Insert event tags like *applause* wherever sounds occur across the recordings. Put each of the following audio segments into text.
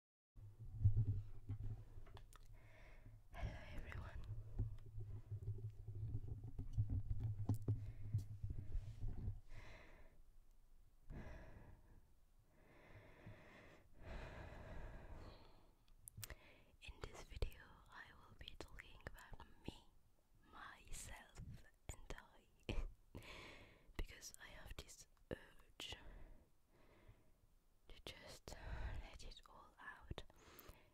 Hello everyone. In this video, I will be talking about me, myself, and I *laughs* because I have this urge to just let it all out.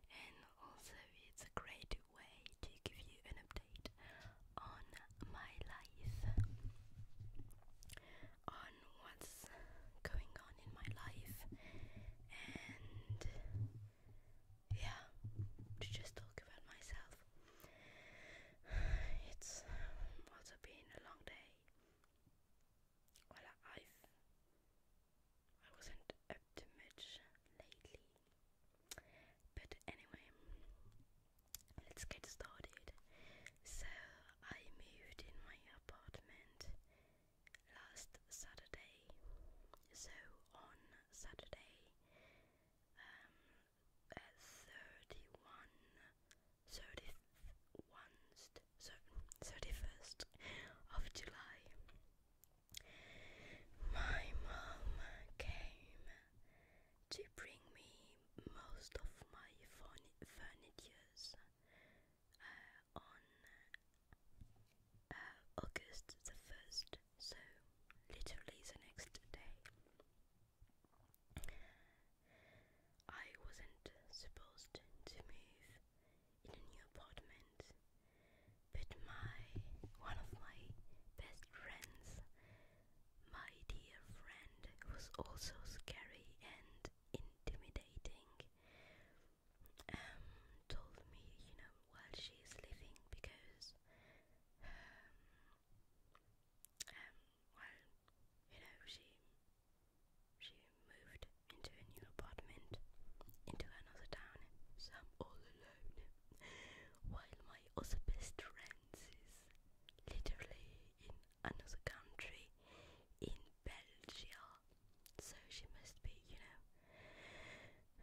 And also, it's a great way to give you an update on my life, on what's going on in my life, and yeah, to just talk about myself. *sighs* It's also been a long day. Well, I've I wasn't up to much lately, but anyway, let's get started. So I moved in my apartment last Saturday. So on Saturday, um, at thirty-one 31st, of July. My mom came to bring me most of my furnitures uh, on uh, August the 1st, so literally the next day. I wasn't supposed to move in a new apartment, but my one of my best friends, my dear friend, was also scary and intimidating. Um, told me, you know, while she is living because, um, um, well, you know, she she moved into a new apartment, into another town, so I'm all alone, while my other best friend is literally in another country, in Belgium. So she must be, you know,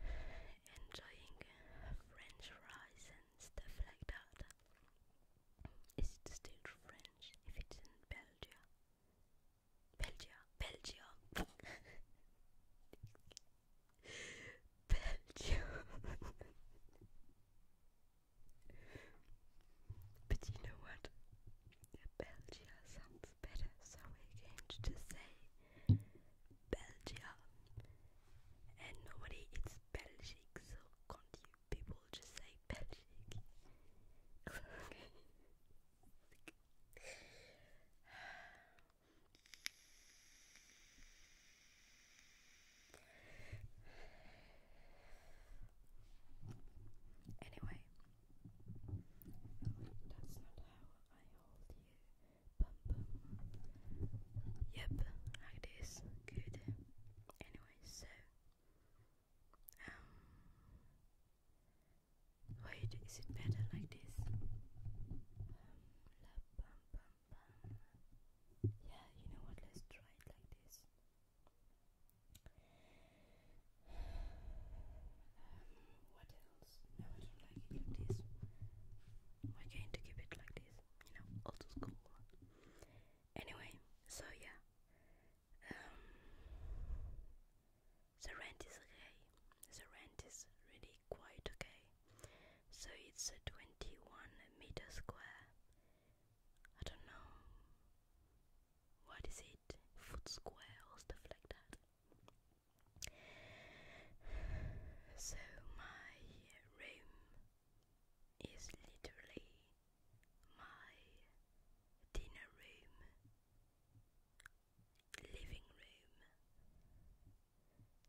enjoying French fries and stuff like that. Is it still French if it's in Belgium? Belgium, Belgium, *laughs* Belgium. *laughs* but you know what? Belgium sounds better, so we're going to say Belgium. And normally it's Belgique, so can't you people just say Patrick. *sighs* Anyway, that's not how I hold you. Bum Yep, like Good. Anyway, so um, wait, is it better like this? Um, yeah, you know what? Let's try it like this. Um, what else? No, I don't like it like this. We're going to keep it like this, you know, old school. Anyway, so yeah, um, the rent is okay. The rent is really quite okay. So it's a 21 meter square. I don't know what is it, foot square stuff like that. So my room is literally my dinner room, living room,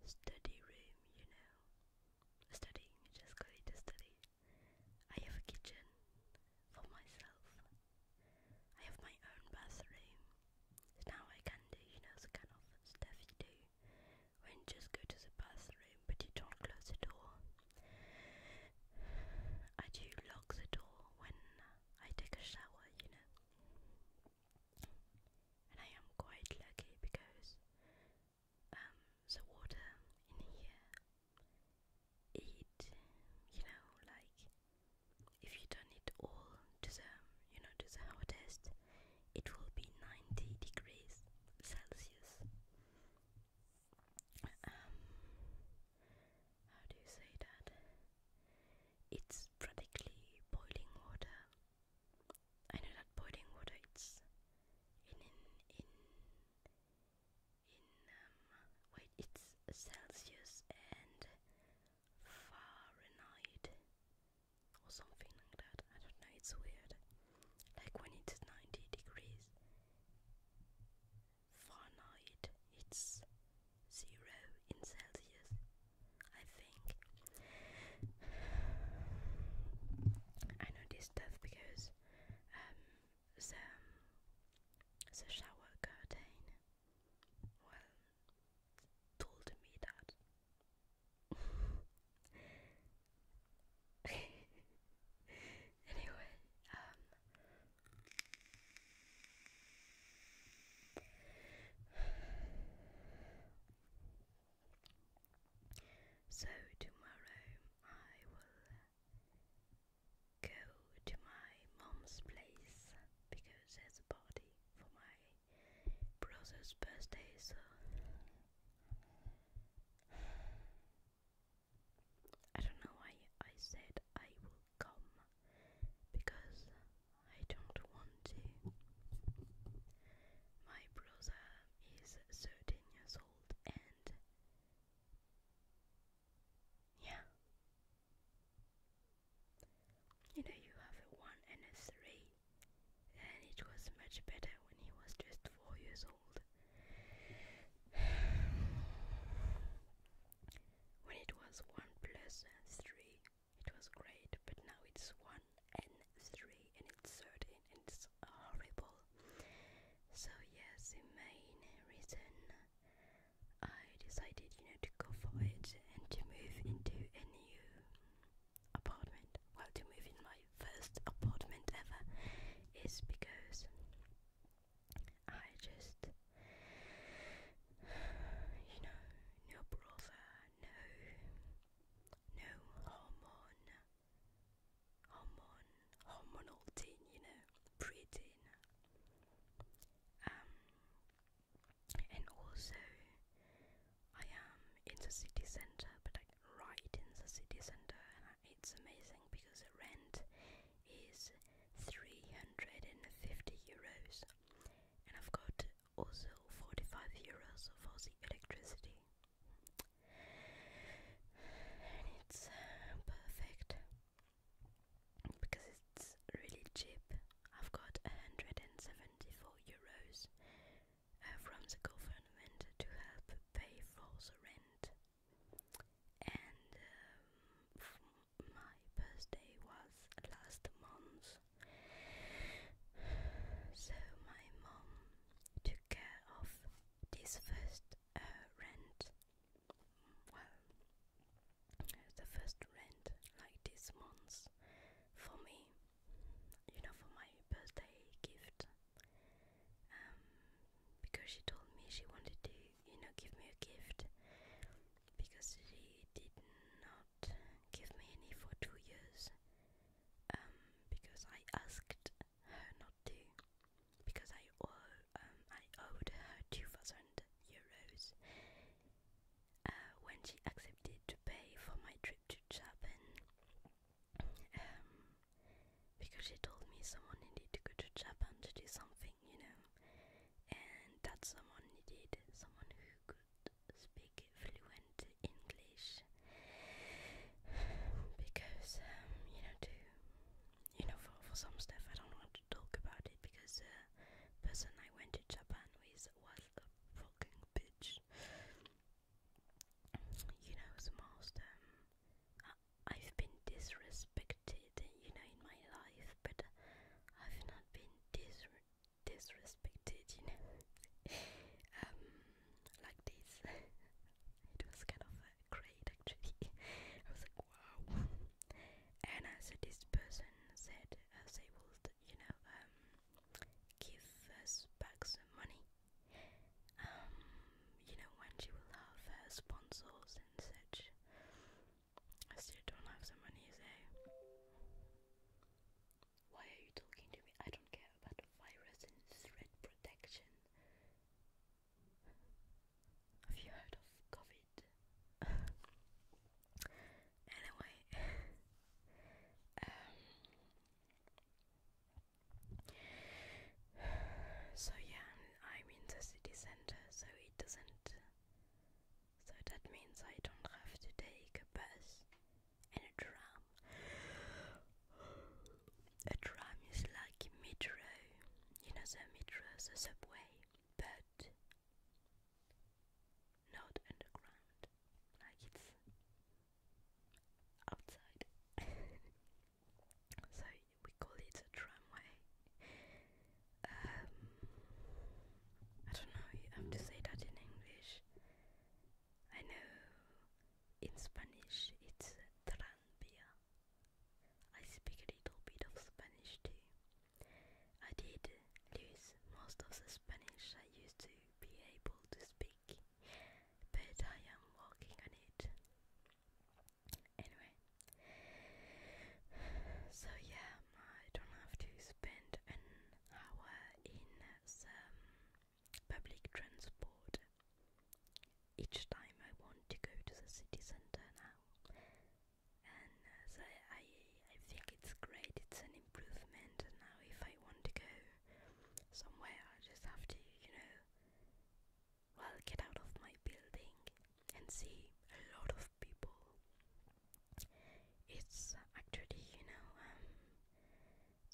study room, you know. Study, just call it a study. I have a kitchen for myself. I have my own bathroom. Now I can do, you know, kind of stuff you when just go to the bathroom, but you don't close the door. I do lock the door when I take a shower, you know. And I am quite lucky because um, the water in here, it, you know, like if you turn it all to the, you know, to the hottest, it will be 90 degrees Celsius um, how do you say that? It's practically boiling water. I know that boiling water it's in in in in um wait it's Celsius and Fahrenheit or something like that. I don't know, it's weird like when it's 90 degrees Fahrenheit, it's zero in Celsius, I think. I know this stuff because um, the, um, the shower curtain, well, told me that. *laughs* anyway, um so tomorrow I will go to my mom's place because there's a party for my brother's birthday so I don't know why I said I will come because I don't want to. My brother is 13 years old and yeah. You know, you have a 1 and a 3 and it was much better when he was just four years old. when it was one plus three, it was great, but now it's one and three, and it's certain, and it's horrible. So yes, the main reason I decided, you know, to go for it and to move into a new apartment, well to move in my first apartment ever, is because I just, you know, no brother, no, no hormone, hormone, hormonal teen, you know, preteen. Um, and also, I am in the city center, but like right in the city center, and it's amazing because the rent is 350 euros, and I've got also 45 euros for the electricity, and it's uh, perfect because it's really cheap. I've got 174 euros uh, from the government to help pay for the rent. And um, my birthday was last month, so my mom took care of this first uh, rent. Well, the first rent like this month for me you know, for my birthday gift. Um, because she told me she wanted to, you know, give me a gift because she did not give me any for two years. Um, because I asked her not to, because I owe, um, I owed her two thousand euros. Uh, when she accepted to pay for my trip to Japan, um, because she told me someone needed to go to Japan to do something, you know, and that someone needed someone who could speak fluent English because, um, you know, to you know, for, for some stuff I don't want to talk about it because uh, the person I went to Japan with was a fucking bitch you know, most um, I've been disrespected, you know, in my life, but I've not been dis disrespected, you know, *laughs* um, like this. *laughs* it was kind of uh, great, actually. *laughs* I was like, wow. and uh, so this person said uh, they would, you know, um, give us back some money um, you know, when she will have sponsors and such. I still don't have the money, so. Why are you talking to me? I don't care about virus and threat protection. Have you heard of COVID? *laughs* anyway, *laughs* um, *sighs* So yeah, I'm in the city center, so it doesn't. So that means I don't have to take a bus and a tram. *sighs* A tram is like metro, you know the metro, the subway, but not underground. Like it's outside. *laughs* so we call it a tramway. Um, I don't know, you to say that in English. I know in Spanish it's tranvía. I speak a little bit of Spanish too. I did lose most of the Spanish I used to be able to speak big, but I am working on it. Anyway, so yeah, um, I don't have to spend an hour in some public transport each time I want to go to the city center now. And uh, so I, I think it's great, it's an improvement. And now, if I want to go somewhere I just have to, you know, well, get out of my building and see a lot of people. It's actually, you know, um,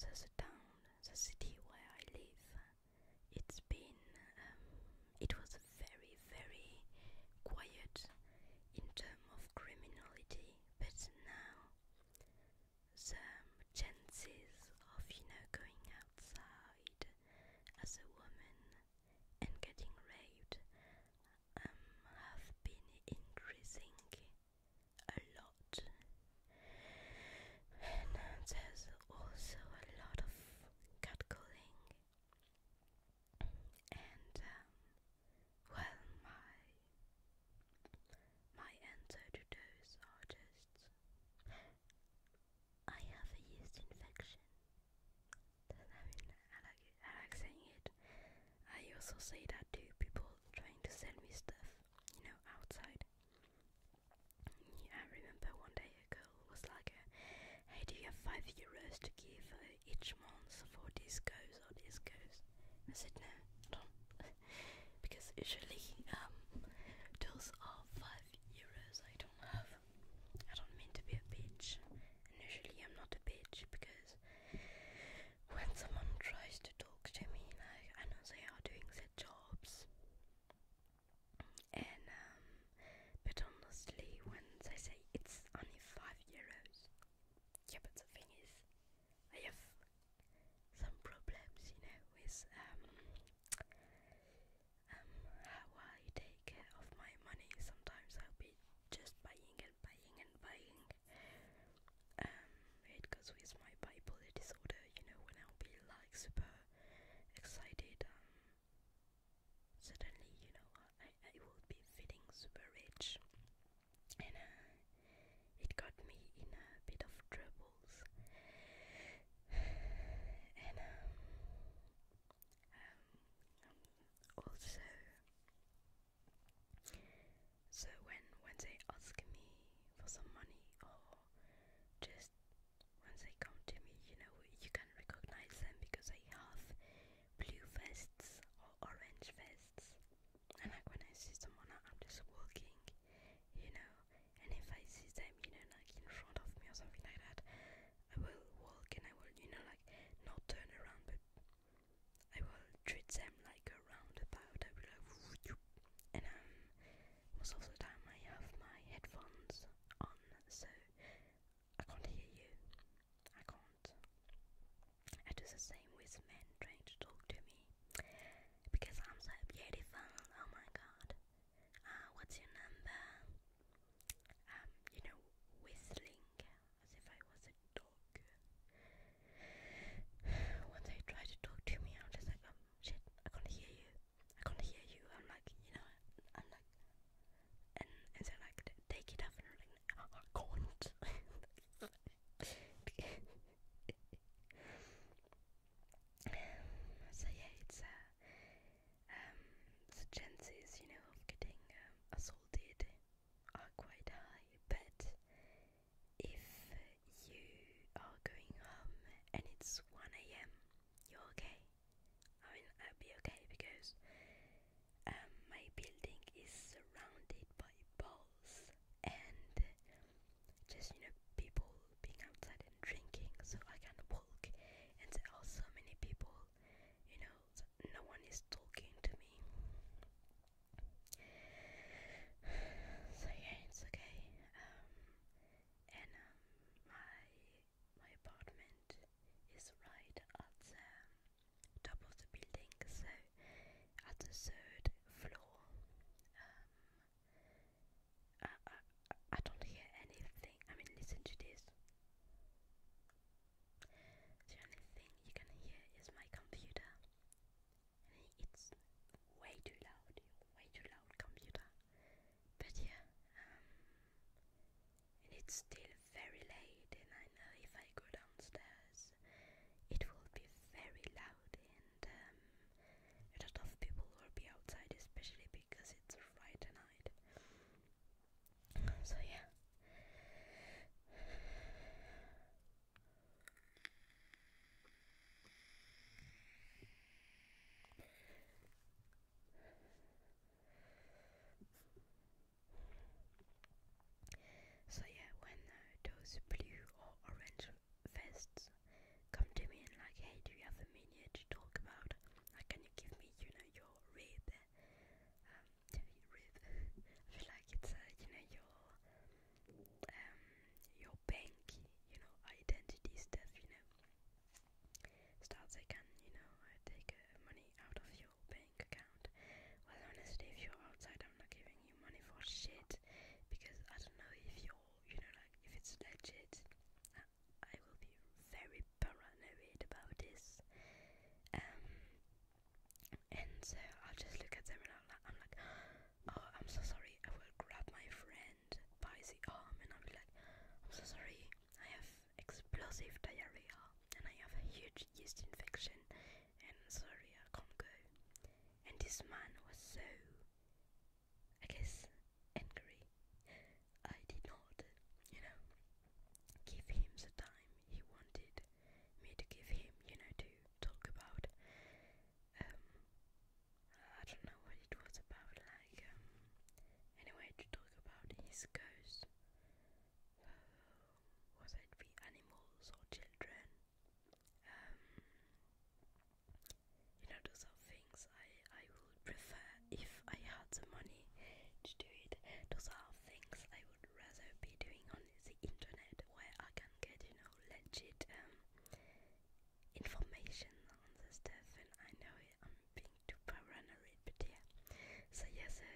there's a town, the city where I live. It's been, um, it was very, very quiet in terms of criminality, but now some chances of you know going outside as a woman and getting raped um, have been increasing a lot. And uh, there's also a lot of catcalling and um, well, my my answer to those artists. I have a yeast infection. I mean, I like, I like saying it. I also say that to people trying to sell me stuff, you know, outside. I remember one day a girl was like, "Hey, do you have five euros to give uh, each month for discos or discos?" I said, "No, don't." because usually um, those are five euros. I don't have. I don't mean to be a bitch, and I'm not a bitch because when someone tries to talk to me, like I know they are doing their jobs, and um, but honestly, when they say it's only five euros, yeah, but the is, I have some problems, you know, with um, um, how I take care of my money. Sometimes I'll be just buying and buying and buying. Um, it goes with my bipolar disorder, you know, when I'll be like super excited. Um, suddenly, you know, I, I will be feeling super rich and uh, it got me in a bit of troubles. *sighs* and um, um, also, so when when they ask me for some money or just when they come to me, you know, you can recognize them because they have blue vests or orange vests. And like when I see someone, I'm just walking, you know. And if I see them, you know, like in front of me or something like that, I will walk and I will, you know, like not turn around, but I will treat them like a roundabout. I will like, *laughs* and um, most of the time I have my headphones on, so I can't hear you. I can't. I do the same with men trying to talk to me because I'm so beautiful. Oh my god. Uh, what's your number? Um, you know, whistling as if I was a dog. Once they try to talk to me, I'm just like, um, shit, I can't hear you. I can't hear you. I'm like, you know, I'm like, and and so like, take it off, and i like, can't. *laughs* so yeah, it's uh, um, the chances you know of getting um, assaulted are quite high, but if you are going home and it's 1 a.m., you're okay. I mean, i would be okay because um, my building is surrounded by balls and just you know people being outside and drinking so I can walk and there are so many people you know so no one is talking to me so yeah it's okay um and um my my apartment is right at um, top of the building, so at the third floor. Um, I, I, I don't hear anything. I mean, listen to this. The only thing you can hear is my computer. And it's way too loud, way too loud computer. But yeah, um, and it's still very late, and I know if I go downstairs, it will be very loud and um, a lot of people will be outside, especially because it's Friday night. So, yeah. So yeah, when uh, those blue or orange vests come to me and like, hey, do you have a minute to talk about? Like, can you give me, you know, your rib? Um, rib. *laughs* I feel like it's, uh, you know, your um, your bank, you know, identity stuff, you know. Starts they can, you know, take uh, money out of your bank well, honestly, if you're outside, I'm not giving you money for shit because I don't know if you're, you know, like if it's legit. I, will be very paranoid about this. Um, and so I'll just look at them and I'm like, oh, I'm so sorry. I will grab my friend by the arm and I'll be like, I'm so sorry. I have explosive diarrhea and I have a huge yeast infection and Syria, Congo. And this man was so, I guess, angry. I did not, you know, give him the time he wanted me to give him, you know, to talk about. Um, I don't know what it was about, like, um, anyway, to talk about his ghost whether it be animals or children, um, you know, those are things I, I would prefer if I had the money to do it. Those are things I would rather be doing on the internet where I can get, you know, legit um, information on the stuff and I know I'm being too paranoid, but So yes, yeah, so,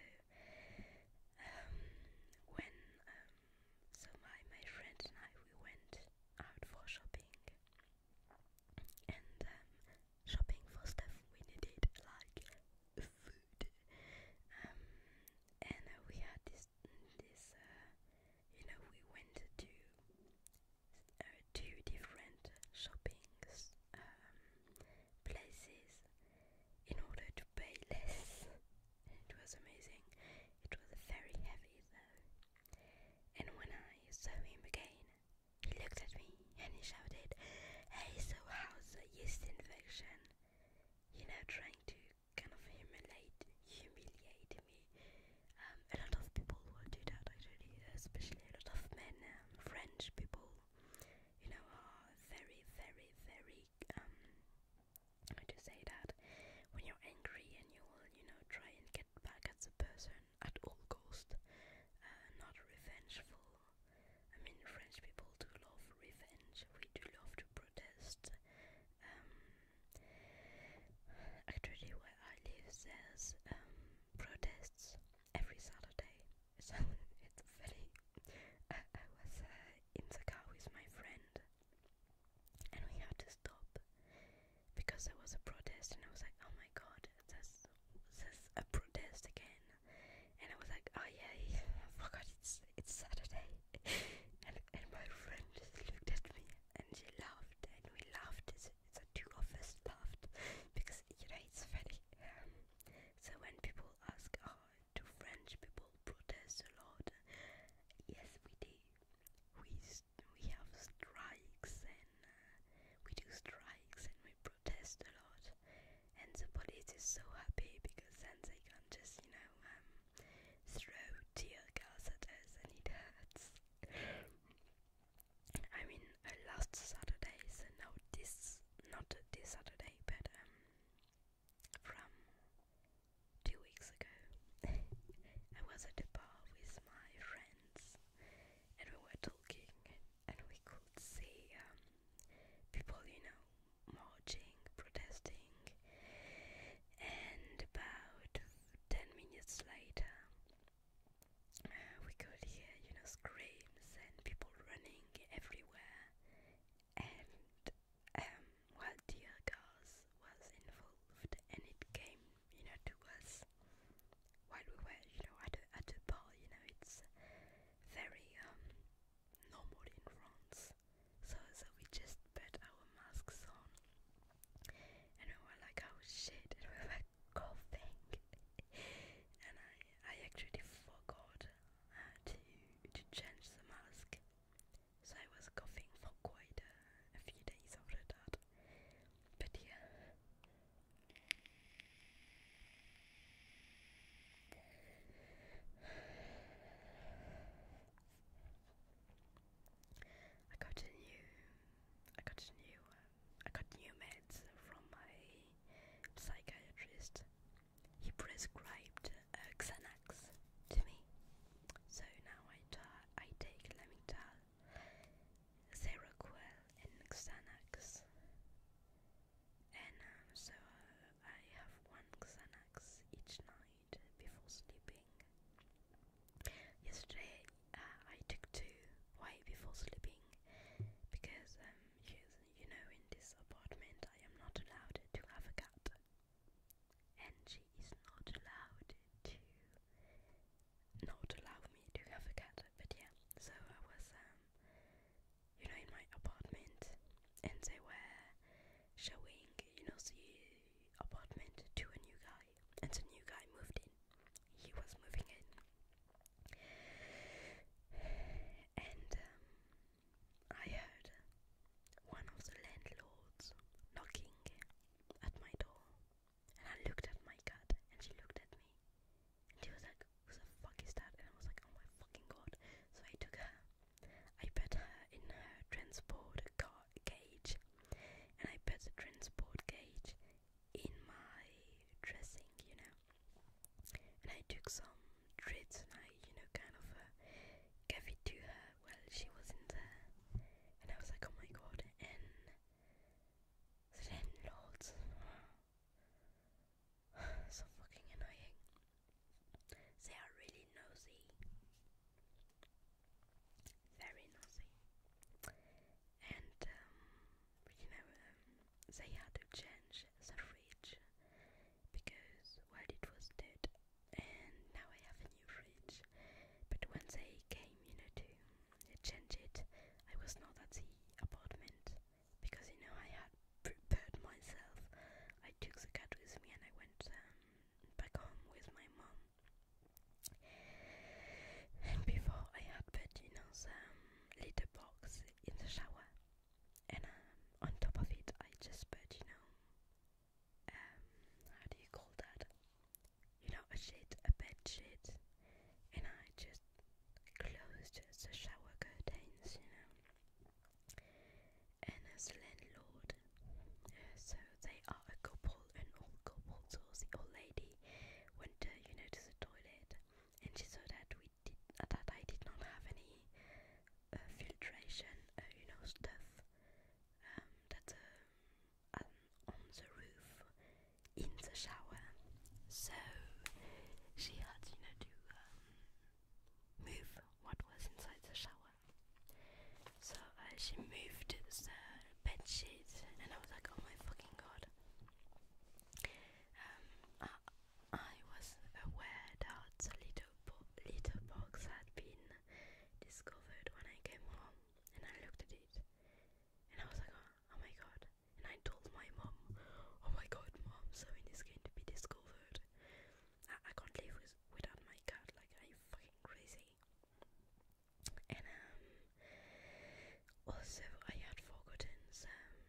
um, when so my my friend and I we went out for shopping, and um, shopping for stuff we needed like food. Um, and uh, we had this this uh, you know we went to uh, two different shopping um, places in order to to pay less. It was amazing. It was very heavy though. And when I saw him again, he looked at me and he shouted, Hey, so how's the yeast infection? You know, trying to kind of humiliate, humiliate me. Um, a lot of people will do that actually, especially a lot of men, um, French people, you know, are very, very, very really um to say that when you're angry and you will you know try and get back at the person at all cost, uh, not revengeful. I mean, French people do love revenge. We do love to protest. Um, actually, where I live, there's um, protests every Saturday. *laughs* So it's very. *laughs* I, I was uh, in Inzagao with my friend. And we had to stop because there was a protest, and I was like, oh my god, there's, there's a protest again. And I was like, oh yeah, forgot oh it's, it's Saturday. *laughs* and, and my friend just looked at me and she laughed, and we laughed. It's, it's the two of us laughed because, you know, it's funny. Um, so when people ask, oh, do French people protest a lot? Yes, we do. We we have strikes and uh, we do strikes and we protest a lot. And the police is so happy because then they can just you know um, throw tear gas at us and it hurts. I mean, uh, last Saturday, so not this, not this Saturday, but um, from two weeks ago. *laughs* I was at a bar with my friends and we were talking and we could see um, people, you know, marching, protesting and about 10 minutes later we could hear, you know, screams and people running everywhere and um, while Dear Girls was involved and it came, you know, to us while we were, you know, at a, at a bar, you know, it's very um, normal in France. So, so we just put our masks on and we were like, oh shit, and we were coughing. *laughs* and I, I actually forgot to, to change the mask. So I was coughing for quite a, few days after that. But yeah. I got a new, I got a new, um, I got new meds from my psychiatrist he prescribed uh, Xanax to me. So now I, take Lamictal, Seroquel and Xanax. And um, so uh, I have one Xanax each night before sleeping. Yesterday uh, I took two, why before sleeping? Because um, Yes, you know, in this apartment I am not allowed to have a cat. And she is not allowed to not allow me to have a cat. But yeah, so I was, um, you know, in my apartment and they were showing, you know, the apartment to a new guy. And the new guy moved in. He was moving in. *sighs* And um, I heard one of the landlords knocking at my door, and I looked at my cat, and she looked at me, and she was like, "Who the fuck is that?" And I was like, "Oh my fucking god!" So I took her, I put her in her transport car cage, and I put the transport cage in my dressing, you know and I took some treats and I, you know, kind of uh, gave it to her while she was in there, and I was like, oh my god, and then lords, so fucking annoying. They are really nosy, very nosy, and um, you know, um, they had to change the fridge because well it was dead and now I have a new fridge but when they came you know to change it I was not at the apartment because you know I had prepared myself I took the cat with me and I went um, back home with my mom and before I had put you know the um, little box in the shower and um, on top of it, I just put, you know, um, how do you call that? You know, a sheet, a bed sheet, and I just closed the shower curtains, you know. And as a landlord, uh, so they are a couple, an old couple, so the old lady went, uh, you know, to the toilet, and she saw that we that I did not have any uh, filtration, uh, you know, stuff um, that um, um, on the roof in the shower. So she had, you know, to move what was inside the shower. So uh, she moved the bed sheets, and I was like, oh my fucking god. I was aware that the little, bo little box had been discovered when I came home, and I looked at it, and I was like, oh, oh my god. And I told my mom, oh my god, mom, something is going to be discovered. I, I can't live with, without my cat, like, are you fucking crazy? And, um, also, I had forgotten some,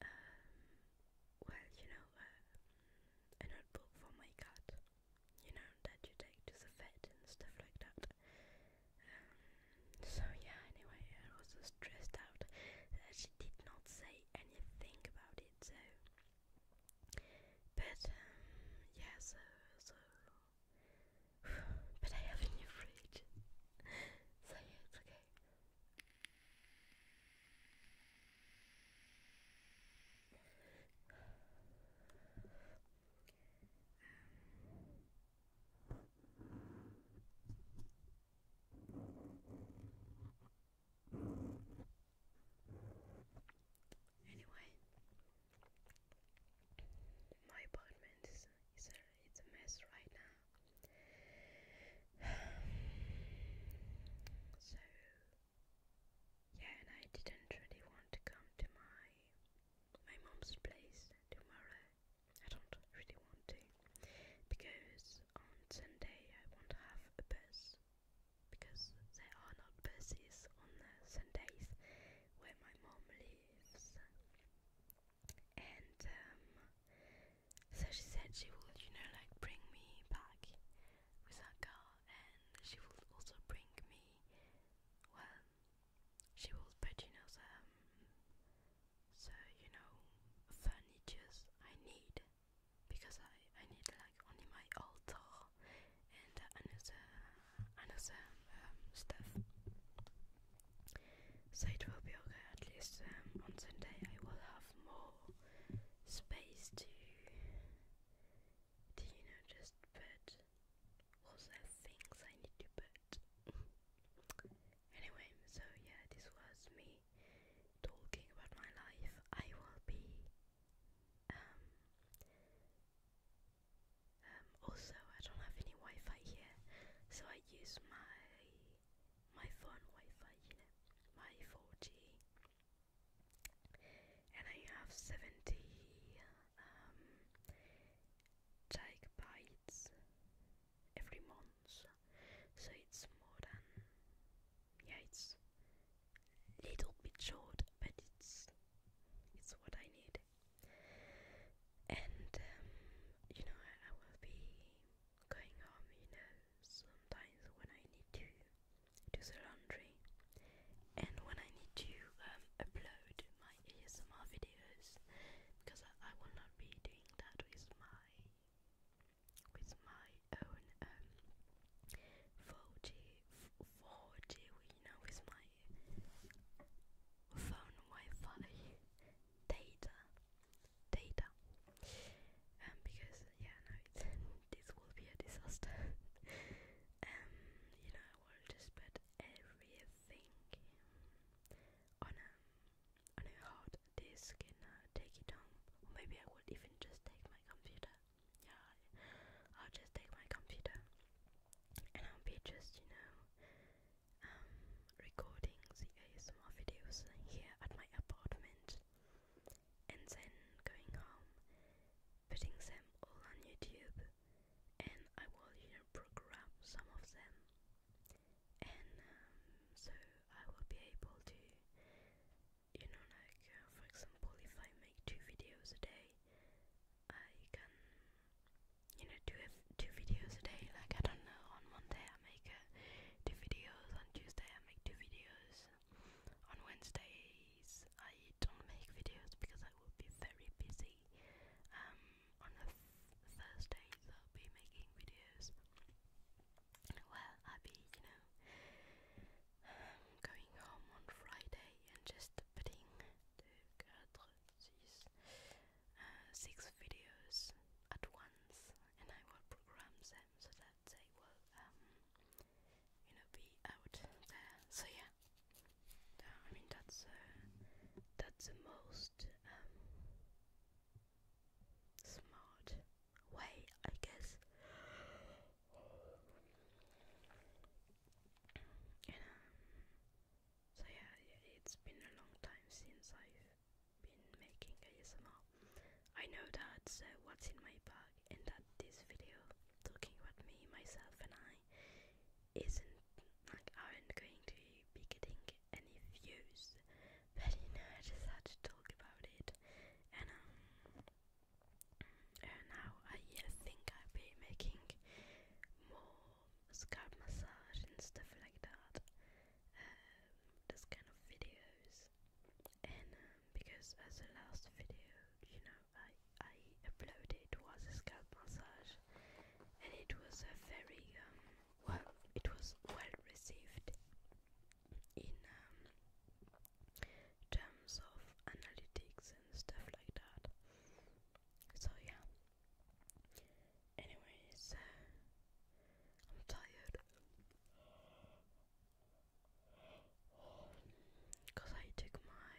um, well, you know, uh, a notebook for my cat, you know, that you take to the vet and stuff like that. Um, so yeah, anyway, I was so stressed out that she did not say anything about it. So, but um, yeah, so so. *sighs* but I have a new fridge, *laughs* so yeah, it's okay. Anyway, my apartment is, is a it's a mess right now. *sighs* so yeah, and I didn't really want to come to my my mom's place tomorrow. I don't really want to because on Sunday I won't have a bus because there are not buses on the Sundays where my mom lives and um, so she said she will, you know, like bring me back with her car, and she will also bring me. Well, she will purchase you know, some, so you know, furnitures I need because I I need like only my altar and another another um, stuff. So it will be okay, at least um, on Sunday I will have more space to, to you know, just put all also things I need to put. *laughs* anyway, so yeah, this was me talking about my life. I will be um, um also I don't have any Wi-Fi here, so I use my my phone Wi-Fi unit, my 4G, and I have 70 um, gigabytes every month, so it's more than yeah, it's little bit short, but it's it's what I need. And um, you know, I will be going home, you know, sometimes when I need to do the laundry and when I need to um, upload my ASMR videos because I, will not be doing that with my with my own 4G um, 4G you know with my phone Wi-Fi data data um, because yeah no it's, *laughs* this will be a disaster *laughs* um, you know I will just put everything on a on a hard disk and uh, take it home or maybe I will even just take my computer yeah I'll just take my computer and I'll be just you know um, recording the ASMR videos here at my apartment and then going home, putting them all on YouTube, and I will you know, program some of them, and um, so I will be able to, you know, like uh, for example, if I make two videos a day, I can, you know, do it two videos a day. Like I don't know, on Monday I make uh, two videos, on Tuesday I make two videos, on Wednesdays I don't make videos because I will be very busy. Um, on the Thursdays I'll be making videos. Well, I'll be, you know, um, going home on Friday and just putting six videos at once, and I will program them so that they will, um, you know, be out there. So yeah, I mean that's uh, that's the most um, smart way, I guess. Um, so yeah, it's been a long time since I've been making ASMR. I know that what's in my bag and that this video talking about me, myself and I isn't like aren't going to be getting any views but you know I just had to talk about it and um and now I think I'll be making more scalp massage and stuff like that um, this kind of videos and um, because as the last video you know I, I uploaded was a scalp massage and it was a very um, well it was well received in um, terms of analytics and stuff like that so yeah Anyways, uh, I'm tired. Because I took my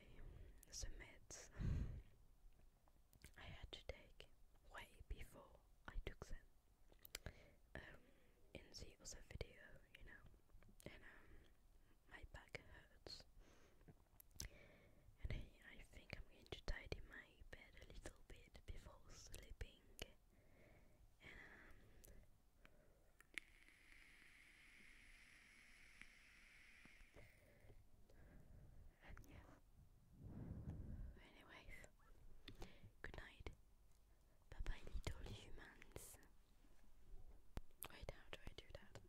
some I had to take way before I took them um, in the other video, you know, and um, my back hurts. And I think I'm going to tidy my my a little bit before sleeping. And, yeah. Um, anyways, good night. Bye little humans. Wait, how do I do that?